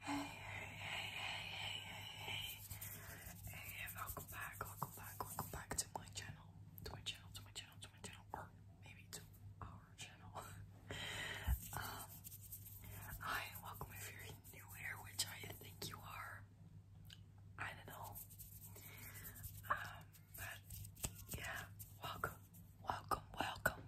Hey, hey, hey, hey, hey, hey, welcome back, welcome back, welcome back to my channel, to my channel, to my channel, to my channel, maybe to our channel. um, hi, welcome if you new here, which I think you are. I don't know. Um, but yeah, welcome, welcome, welcome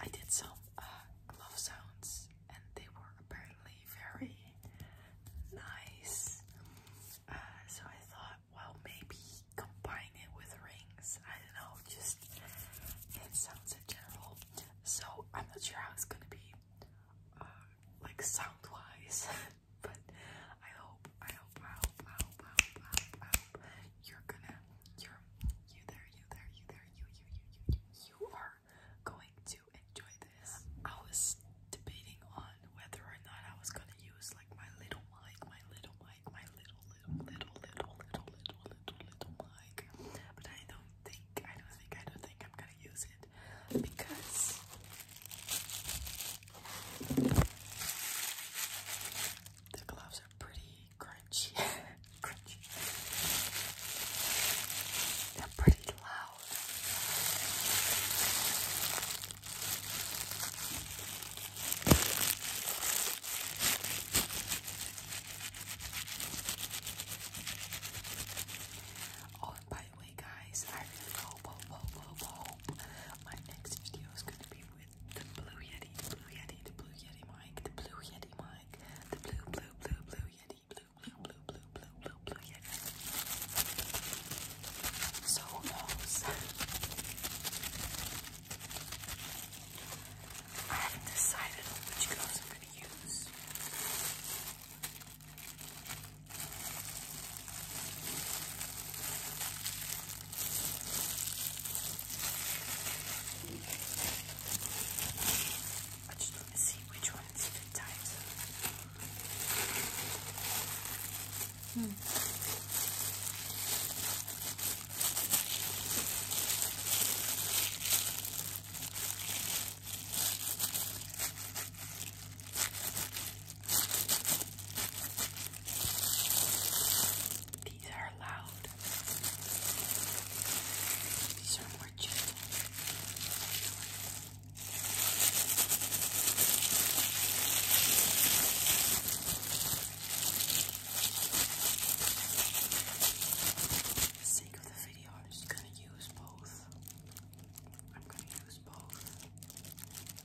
I did some uh, glove sounds, and they were apparently very nice. Uh, so I thought, well, maybe combine it with rings. I don't know, just it sounds in general. So I'm not sure how it's gonna be, uh, like sound wise, but I hope, I hope, I hope, I hope, I hope, I hope, I hope you're gonna you you there, you there, you there, you, you, you, you, you are going to enjoy this. I was debating on whether or not I was gonna use like my little mic, my little mic, my little little little little little little little mic. But I don't think I don't think I don't think I'm gonna use it because the gloves are pretty crunchy, crunchy. They're pretty loud. Oh, by the way, guys, I really hope, hope, hope, hope, my next video is going to be it's the blue yeti, the blue yeti, the blue yeti mic, the blue yeti mic, the blue, blue, blue, blue yeti, blue, blue, blue, blue, blue, blue, blue yeti. So who knows? I haven't decided on which gloves I'm gonna use. I just want to see which one's fit tight. Hmm. These are loud. These are more gentle. For the sake of the video, I'm just gonna use both. I'm gonna use both.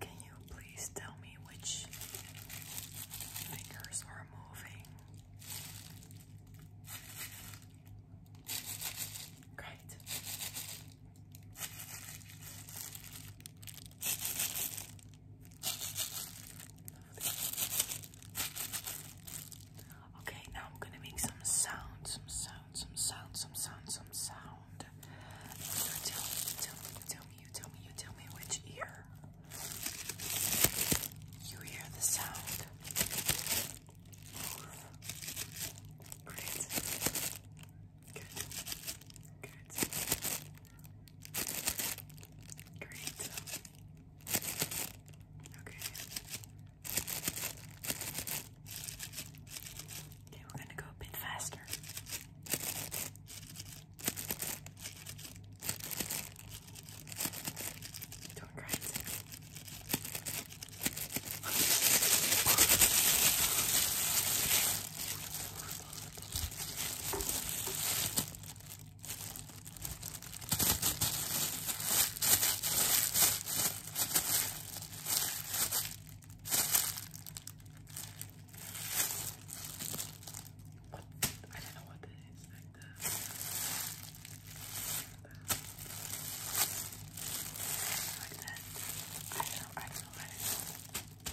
Can you please tell me which fingers are moving? Great. Okay, now I'm gonna make some sound, some sound, some sound, some sound, some sound tell me, you tell me, you tell me which ear you hear the sound. Great. Good. Good. Great. Okay. Okay, we're going to go a bit faster. Don't cry. What? I don't know what that is like that. Like that. I don't know, I don't know what it is. I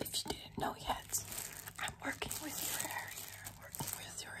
If you didn't know yet, I'm working with your hair here. I'm working with your hair.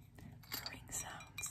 purring sounds.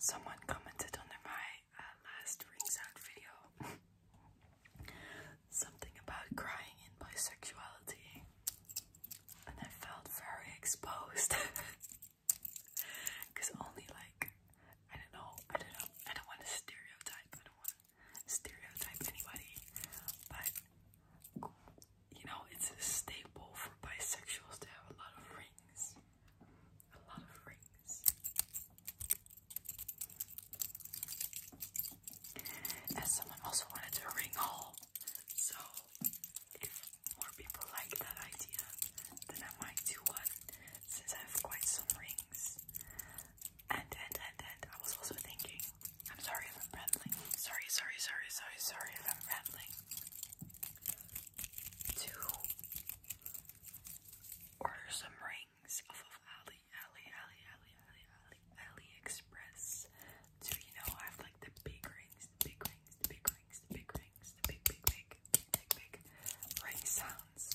Someone commented on my uh, last rings out video something about crying in bisexuality and I felt very exposed because only like I don't know, I don't know, I don't want to stereotype, I don't want to stereotype anybody, but you know, it's a staple for bisexuals to have a lot of rings, a lot of rings, and someone also wanted a ring haul. So if more people like that idea, then I might do one since I have quite some rings. And and and and I was also thinking, I'm sorry if I'm rambling. Sorry, sorry, sorry, sorry, sorry if I'm rambling. To order some rings off of Ali Ali, Ali, Ali, Ali, Ali, Ali, Express. So you know I have like the big rings, the big rings, the big rings, the big rings, the big, big, big, big, big ring sounds.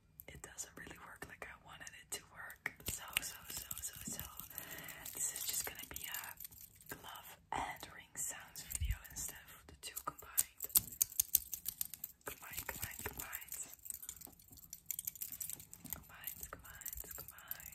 it doesn't really work like I wanted it to work. So, so, so, so, so, this is just gonna be a glove and ring sounds video instead of the two combined. Combined, combined, combined. Combined, combined, combined. Combined.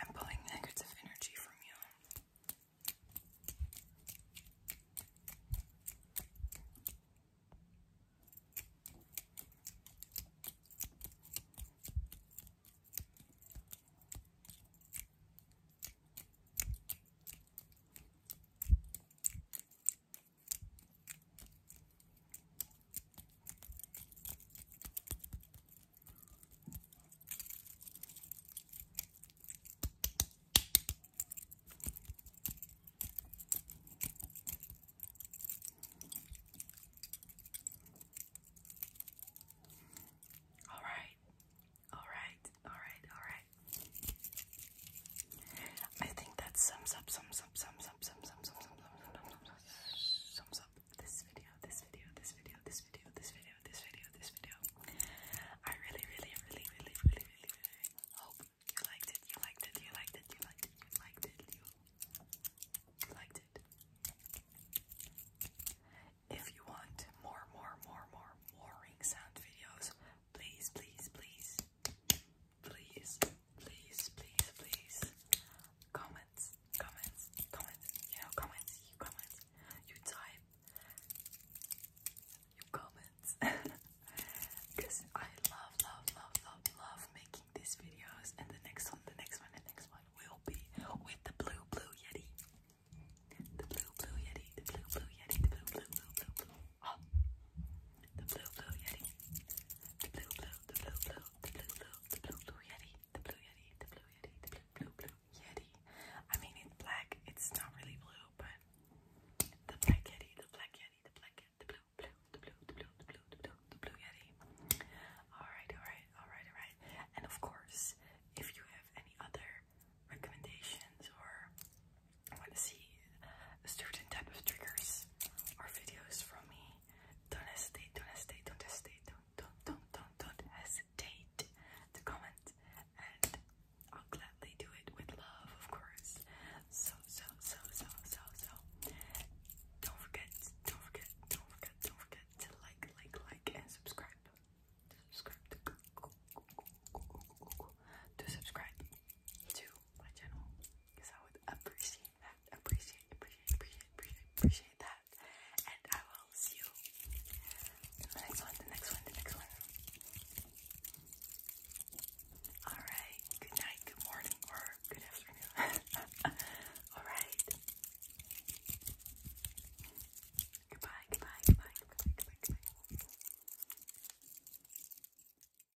I'm pulling negative energy from you. All right, all right, all right, all right. I think that sums up, sums up, sums up, sums up, sums up, sums up, sums up, sums up, this video, this video, this video, this video, this video, this video, this video. I really, really, really, really, really, really, really hope you liked it, you liked it, you liked it, you liked it, you liked it, you liked it. If you want more, more, more, more, more ring sound videos, please, please, please, please please, please, please, comments, comments, comments, you know, comments, you comments, you type, you comments, because I love, love, love, love, love making these videos, and the next one, the next one, the next one will be with the blue, blue yeti, the blue, blue yeti, the blue, blue yeti, the blue, blue, blue, blue, blue. Oh. The blue blue yeti. The blue blue, the blue blue, the blue, blue, the blue, blue yeti, the blue yeti, the blue yeti, the blue, blue, blue yeti. I mean, it's black. It's not really blue, but the black yeti, the black yeti, the black yeti, the blue, blue, the blue, the blue, the blue, the blue, yeti. All right, all right, all right, all right. And of course, if you have any other recommendations or want to see certain type of triggers or videos from me don't hesitate, don't hesitate, don't hesitate, don't, don't, don't, don't, don't hesitate to comment, and I'll gladly do it with love, of course. So, so, so, so, so, so. Don't forget, don't forget, don't forget, don't forget to like, like, like, and subscribe. To subscribe to, to subscribe to my channel, because I would appreciate appreciate appreciate, appreciate, appreciate that. And I will see you in the next one, the next one, the next one. Alright, good night, good morning, or good afternoon. Alright. Goodbye, goodbye, goodbye, goodbye, goodbye, goodbye.